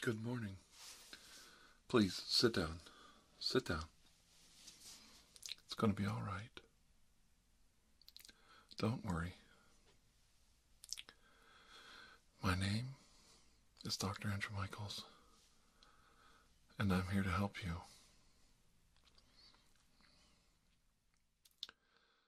Good morning. Please sit down. Sit down. It's going to be all right. Don't worry. My name is Dr. Andrew Michaels, and I'm here to help you.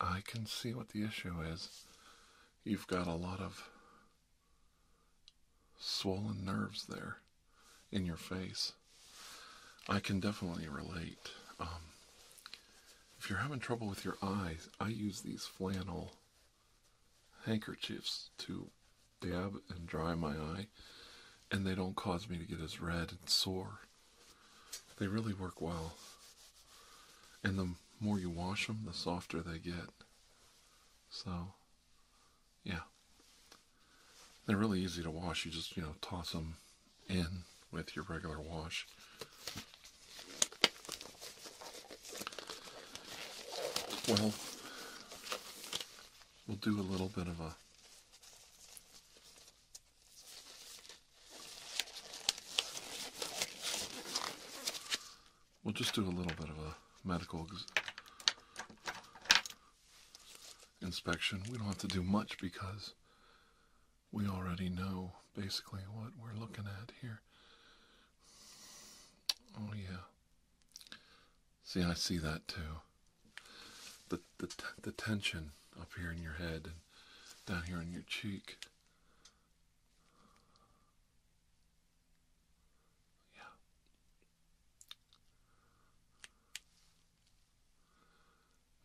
I can see what the issue is. You've got a lot of swollen nerves there in your face. I can definitely relate. Um, if you're having trouble with your eyes, I use these flannel handkerchiefs to dab and dry my eye, and they don't cause me to get as red and sore. They really work well. And the more you wash them, the softer they get. So, yeah. They're really easy to wash. You just, you know, toss them in with your regular wash. Well, we'll do a little bit of a We'll just do a little bit of a medical inspection. We don't have to do much because we already know basically what we're looking at here. Oh, yeah. See, I see that too the the the tension up here in your head and down here on your cheek.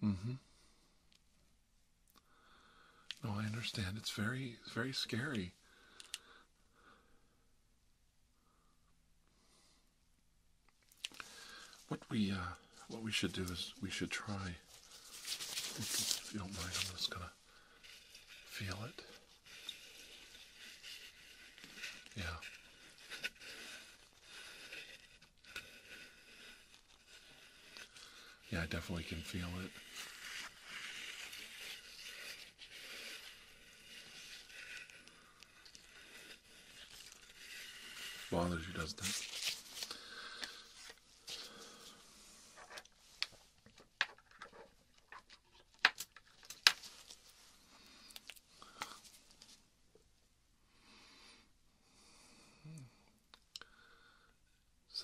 Yeah. Mm-hmm. No, I understand. It's very, it's very scary. What we uh, what we should do is we should try. If you don't mind, I'm just gonna feel it. Yeah. Yeah, I definitely can feel it bothers you, does that say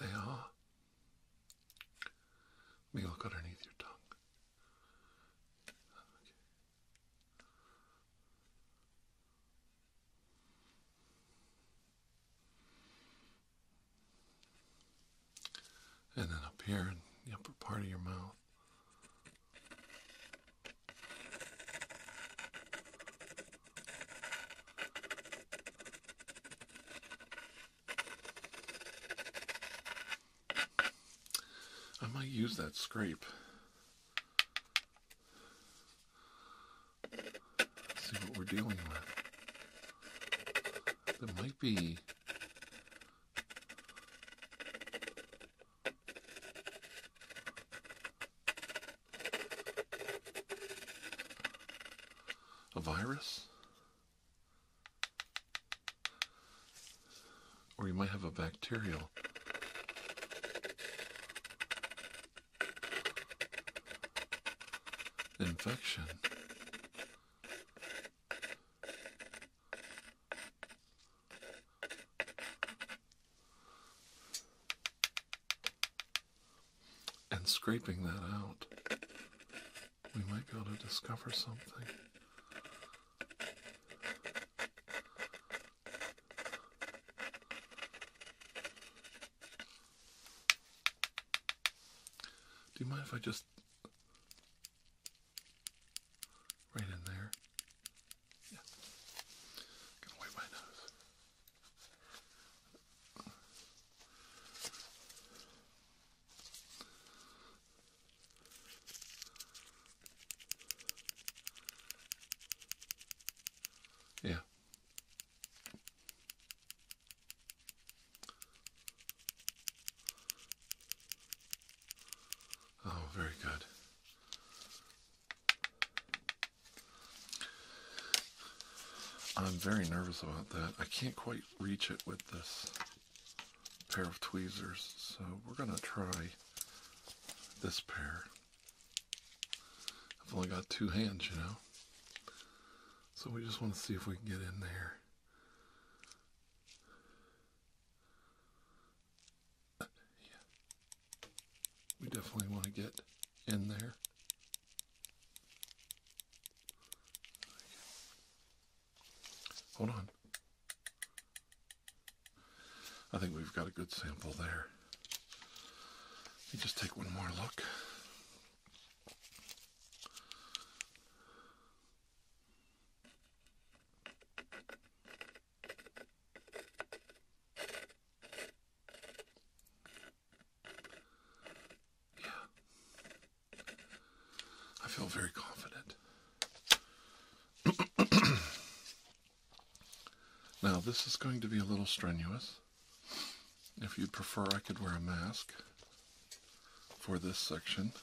They Let me look underneath your tongue. And then up here in the upper part of your mouth. I might use that scrape see what we're dealing with. That might be. A virus? Or you might have a bacterial Infection. And scraping that out, we might be able to discover something. Do you mind if I just right in there? Yeah. Gonna wipe my nose. Yeah. Oh, very good. I'm very nervous about that. I can't quite reach it with this pair of tweezers, so we're going to try this pair. I've only got two hands, you know. So we just want to see if we can get in there. yeah. We definitely want to get in there. Hold on. I think we've got a good sample there. Let me just take one more look. I feel very confident. Now, this is going to be a little strenuous. If you'd prefer, I could wear a mask for this section.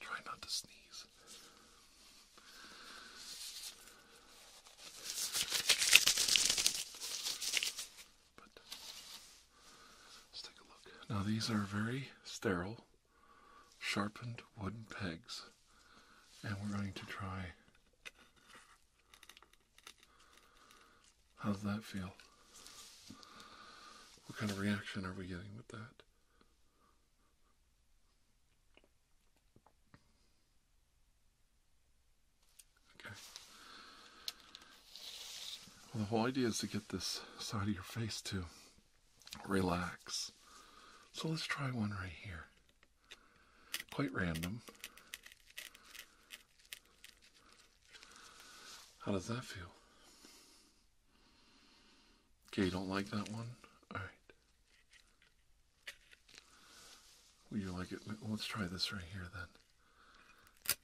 Try not to sneeze. But let's take a look. Now, these are very sterile sharpened wooden pegs, and we're going to try. How does that feel? What kind of reaction are we getting with that? Okay. the whole idea is to get this side of your face to relax. So let's try one right here. Quite random. How does that feel? Okay, you don't like that one? Alright. Will you like it? Let's try this right here then.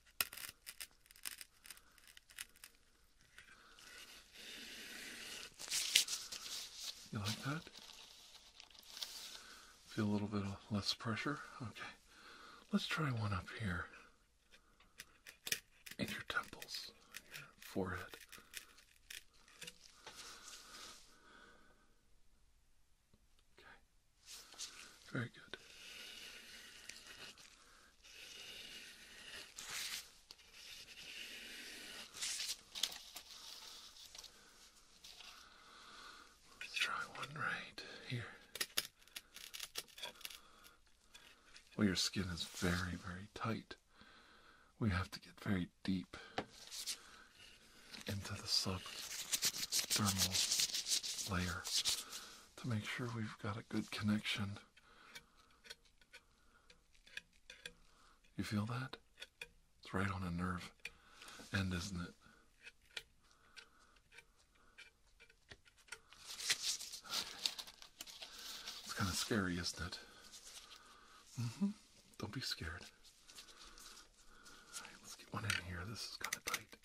You like that? Feel a little bit less pressure? Okay. Let's try one up here in your temples, your forehead. Okay. Very good. Let's try one right here. Well, your skin is very, very tight. We have to get very deep into the subdermal layer to make sure we've got a good connection you feel that? It's right on a nerve end, isn't it? It's kind of scary, isn't it? Mm-hmm. Don't be scared. right, let's get one in here. This is kind of tight.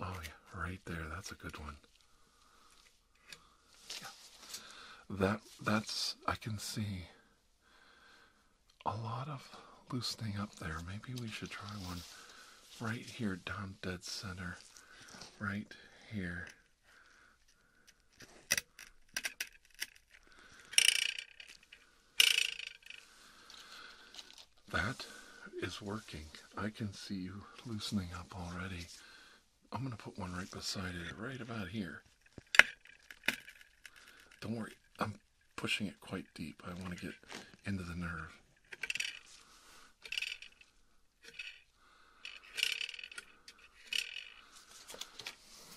Oh, yeah, right there. That's a good one. Yeah. That that's I can see a lot of loosening up there. Maybe we should try one right here down dead center. Right here. That is working. I can see you loosening up already. I'm going to put one right beside it, right about here. Don't worry, I'm pushing it quite deep. I want to get into the nerve.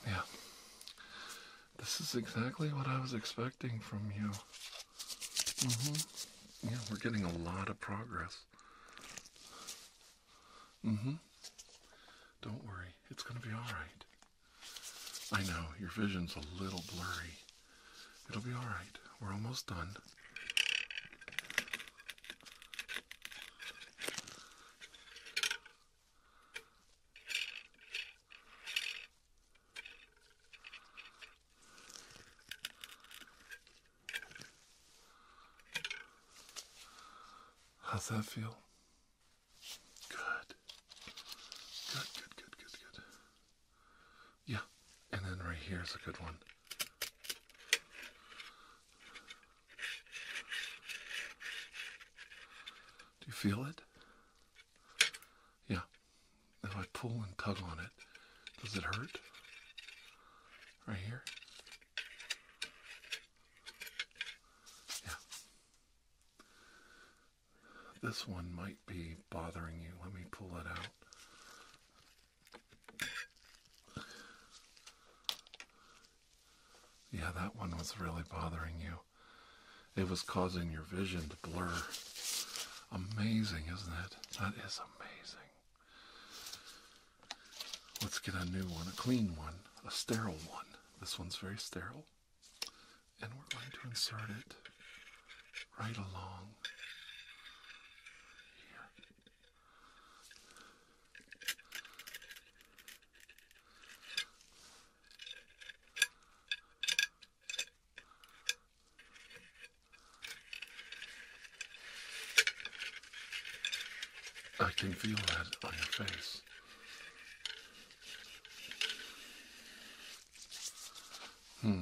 Yeah. This is exactly what I was expecting from you. Mm-hmm. Yeah, we're getting a lot of progress. Mm hmm. Don't worry, it's going to be all right. I know, your vision's a little blurry. It'll be all right. We're almost done. How's that feel? Good. Good, good, good, good, Yeah, and then right here is a good one. Do you feel it? Yeah, if I pull and tug on it, does it hurt? Right here? Yeah. This one might be bothering you. Let me pull it out. Yeah, that one was really bothering you. It was causing your vision to blur. Amazing, isn't it? That is amazing. Let's get a new one, a clean one, a sterile one. This one's very sterile. And we're going to insert it right along here. I can feel that on your face. Hmm.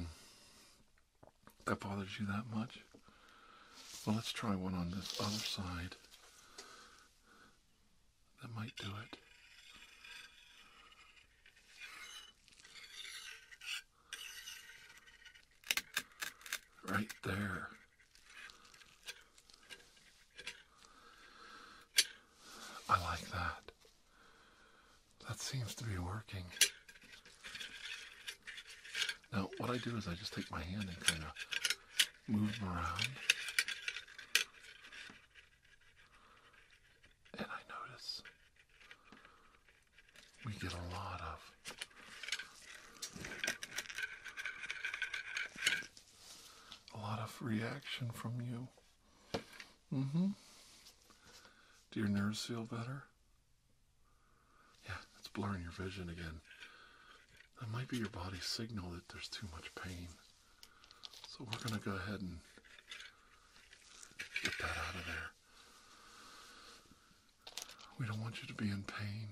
That bothers you that much? Well, let's try one on this other side. That might do it. Right there. I like that. That seems to be working. Now, what I do is I just take my hand and kind of move them around. And I notice we get a lot of. A lot of reaction from you. hmm. Do your nerves feel better? Yeah, it's blurring your vision again. That might be your body's signal that there's too much pain. So we're going to go ahead and get that out of there. We don't want you to be in pain.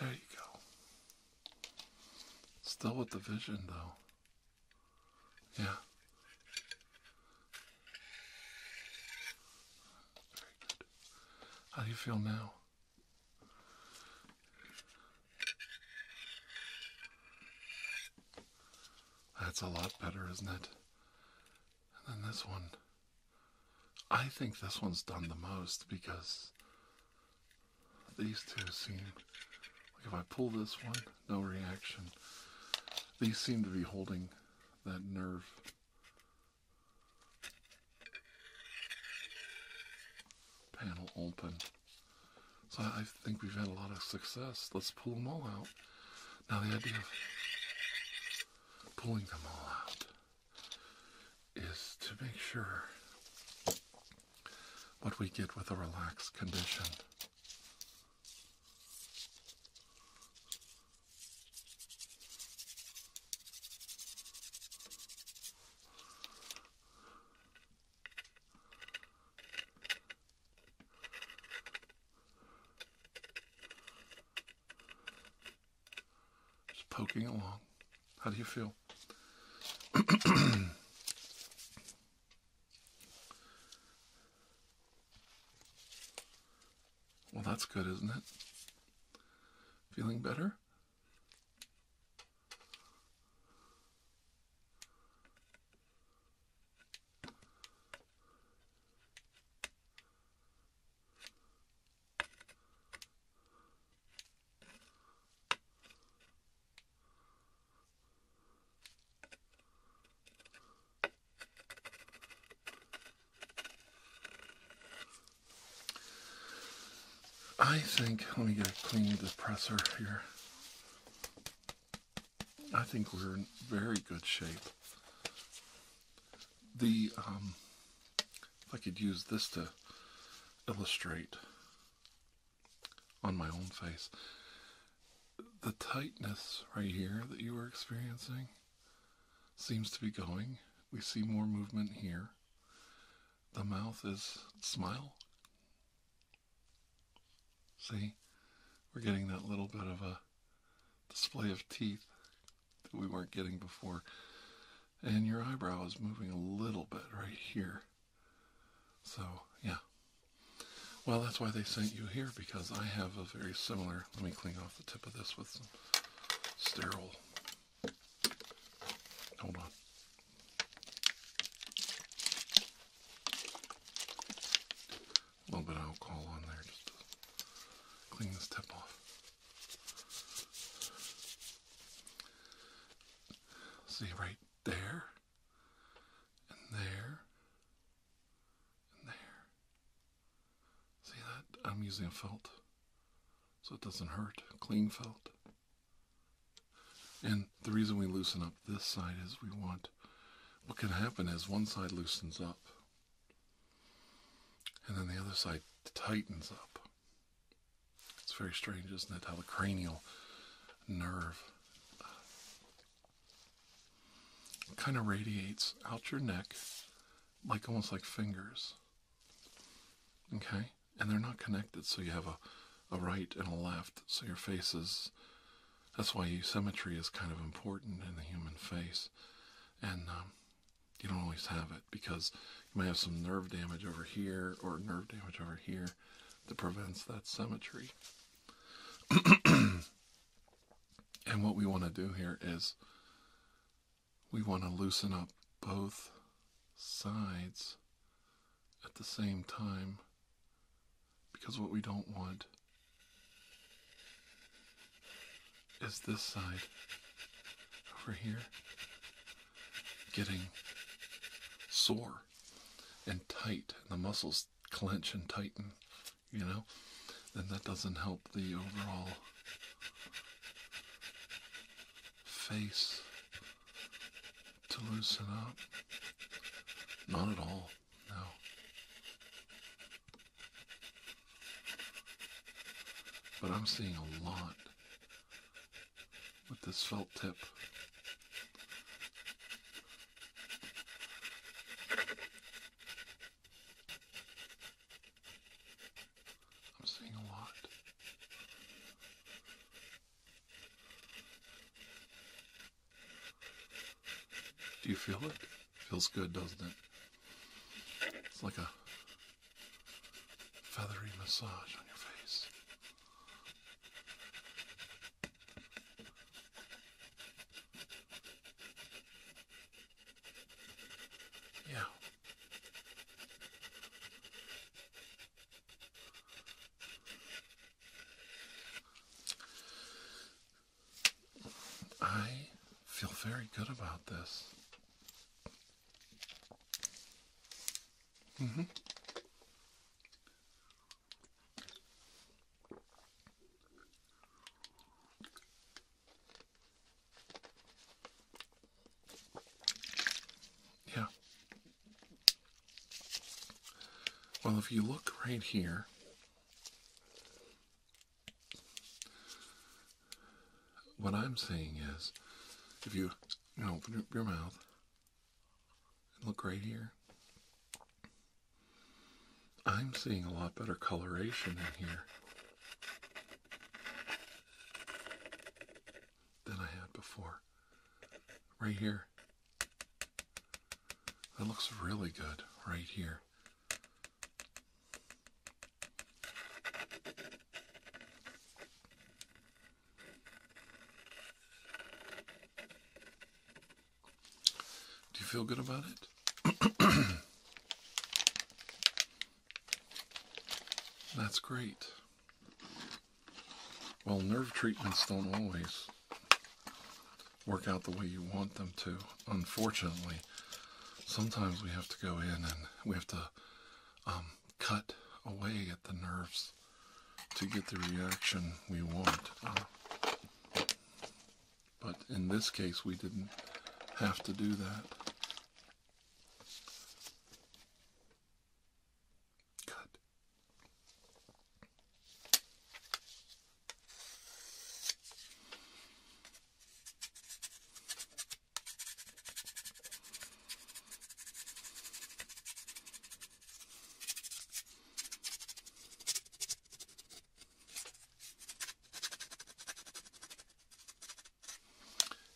There you go. Still with the vision, though. Yeah. Very good. How do you feel now? That's a lot better, isn't it? And then this one. I think this one's done the most because these two seem like if I pull this one, no reaction. These seem to be holding that nerve. Panel open. So I think we've had a lot of success. Let's pull them all out. Now the idea of pulling them all out is to make sure what we get with a relaxed condition just poking along how do you feel? well, that's good, isn't it? Feeling better? I think, let me get a clean depressor here. I think we're in very good shape. The um, if I could use this to illustrate on my own face the tightness right here that you are experiencing seems to be going. We see more movement here. The mouth is smile. See, we're getting that little bit of a display of teeth that we weren't getting before and your eyebrow is moving a little bit right here. So, yeah. Well, that's why they sent you here because I have a very similar. Let me clean off the tip of this with some sterile. Hold on. A little bit of alcohol on there clean this tip off. See right there, and there, and there. See that? I'm using a felt so it doesn't hurt. Clean felt. And the reason we loosen up this side is we want what can happen is one side loosens up and then the other side tightens up. It's very strange, isn't it? How the cranial nerve kind of radiates out your neck, like almost like fingers. Okay? And they're not connected, so you have a, a right and a left, so your face is. That's why symmetry is kind of important in the human face. And um, you don't always have it because you might have some nerve damage over here or nerve damage over here that prevents that symmetry. and what we want to do here is we want to loosen up both sides at the same time because what we don't want is this side over here getting sore and tight, and the muscles clench and tighten, you know, then that doesn't help the overall face to loosen up. Not at all, no. But I'm seeing a lot with this felt tip. I'm seeing a lot. Do you feel it? Feels good, doesn't it? It's like a feathery massage on your face. Yeah. I feel very good about this. Mm-hmm. Yeah. Well, if you look right here, what I'm saying is, if you, open up your mouth and look right here, I'm seeing a lot better coloration in here than I had before. Right here. That looks really good right here. Do you feel good about it? That's great. Well, nerve treatments don't always work out the way you want them to. Unfortunately, sometimes we have to go in and we have to um, cut away at the nerves to get the reaction we want. but in this case, we didn't have to do that. Cut.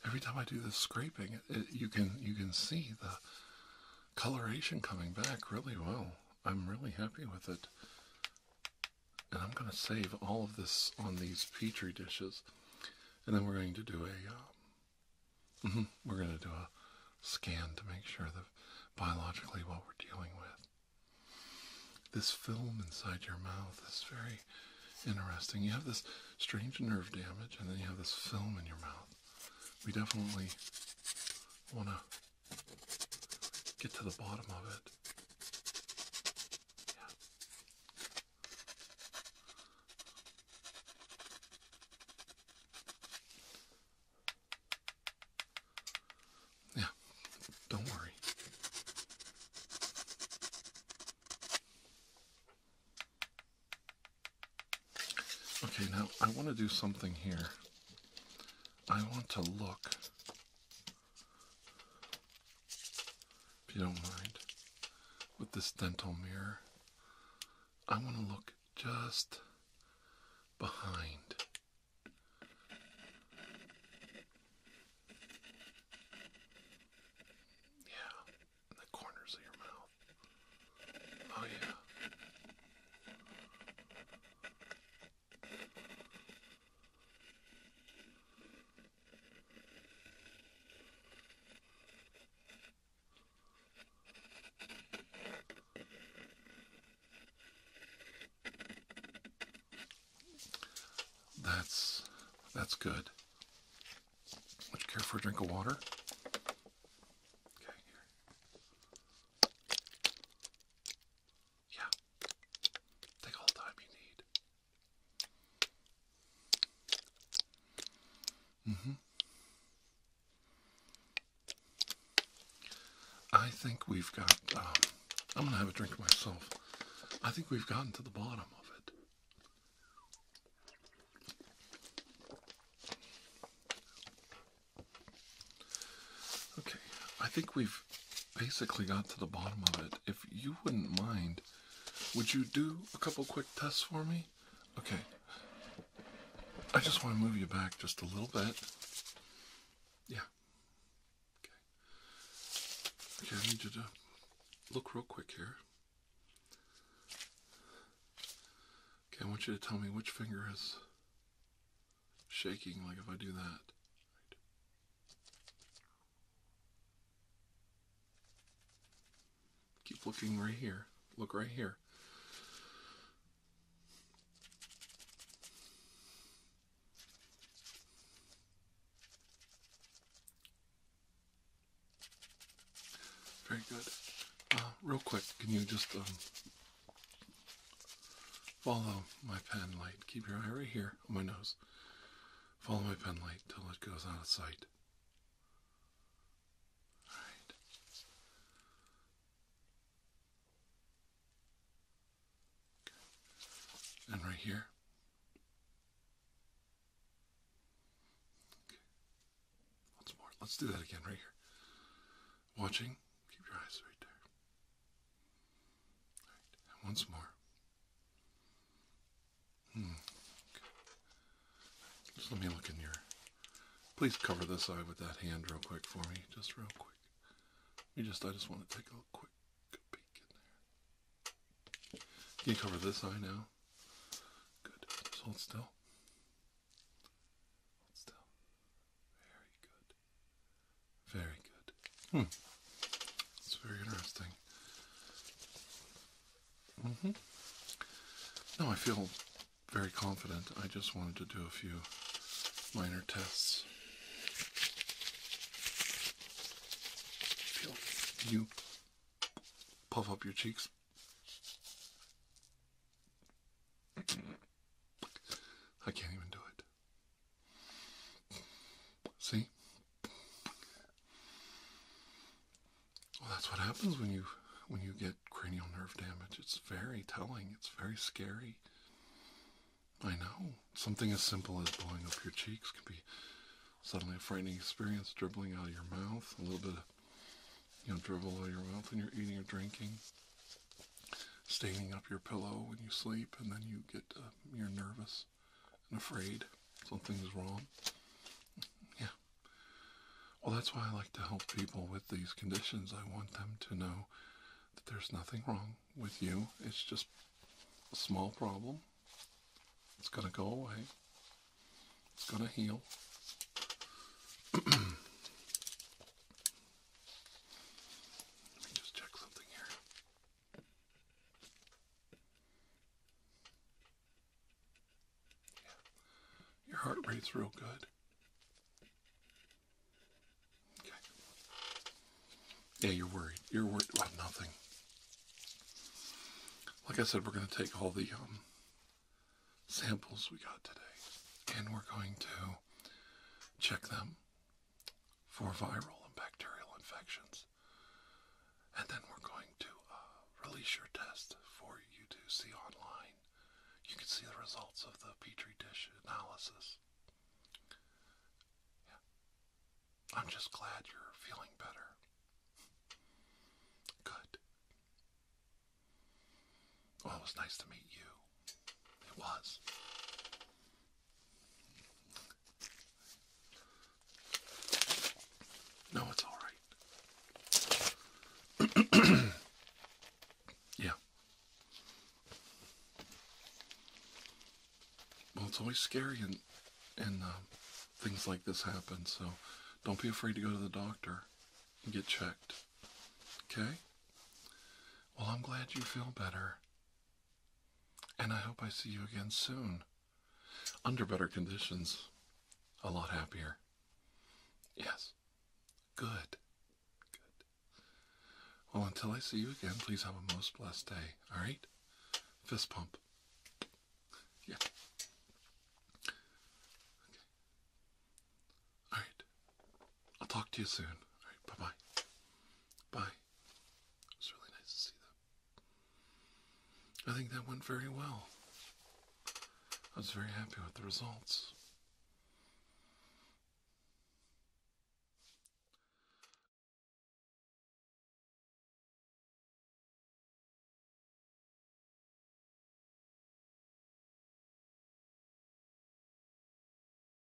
Every time I do this scraping, you can you can see the coloration coming back really well. I'm really happy with it. And I'm going to save all of this on these Petri dishes. And then we're going to do a, um, mm-hmm, we're going to do a scan to make sure that biologically what we're dealing with. This film inside your mouth is very interesting. You have this strange nerve damage, and then you have this film in your mouth. We definitely want to get to the bottom of it. Yeah, don't worry. Okay, now I want to do something here. I want to look if you don't mind, with this dental mirror. I want to look just behind. Yeah, the corners of your mouth. Oh, yeah. That's that's good. Would you care for a drink of water? Okay, here. Yeah. Take all the time you need. Mm-hmm. I think we've got. Um, I'm gonna have a drink myself. I think we've gotten to the bottom of it. Okay, I think we've basically got to the bottom of it. If you wouldn't mind would you do a couple quick tests for me? Okay. I just want to move you back just a little bit. Yeah. Okay. Okay, I need you to look real quick here. Okay, I want you to tell me which finger is shaking, like if I do that. Keep looking right here. Look right here. Very good. Uh, real quick, can you just um, follow my pen light? Keep your eye right here on my nose. Follow my pen light till it goes out of sight. All right. And right here. Okay. Once more. Let's do that again right here. Watching. Keep your eyes right there. All right. And once more. Hmm. Just let me look in your. Please cover this eye with that hand real quick for me, just real quick. You just, I just want to take a quick peek in there. Can you cover this eye now? Good. Just hold still. Hold still. Very good. Very good. Hmm. That's very interesting. Mm-hmm. No, I feel very confident. I just wanted to do a few minor tests. you puff up your cheeks. I can't even do it. See? Well, that's what happens when you when you get cranial nerve damage. It's very telling. It's very scary. I know. Something as simple as blowing up your cheeks can be suddenly a frightening experience, dribbling out of your mouth, a little bit of you know, dribble out of your mouth when you're eating or drinking, staining up your pillow when you sleep, and then you get, uh, you're nervous and afraid something's wrong. Yeah. Well, that's why I like to help people with these conditions. I want them to know that there's nothing wrong with you. It's just a small problem. It's going to go away. It's going to heal. Let me just check something here. Your heart rate's real good. Okay. Yeah, you're worried. You're worried about nothing. Like I said, we're going to take all the um, samples we got today and we're going to check them for viral and bacterial infections. And then we're going to uh, release your test for you to see online. You can see the results of the Petri dish analysis. I'm just glad you're feeling better. Good. it was nice to meet you. It was. No, it's all right. yeah. Well, it's always scary and and uh, things like this happen, so don't be afraid to go to the doctor and get checked. Okay? Well, I'm glad you feel better. And I hope I see you again soon. Under better conditions. A lot happier. Yes. Good. Good. Well, until I see you again, please have a most blessed day. All right? Fist pump. Yeah. Okay. All right. I'll talk to you soon. All right. Bye bye. Bye. It was really nice to see them. I think that went very well. I was very happy with the results.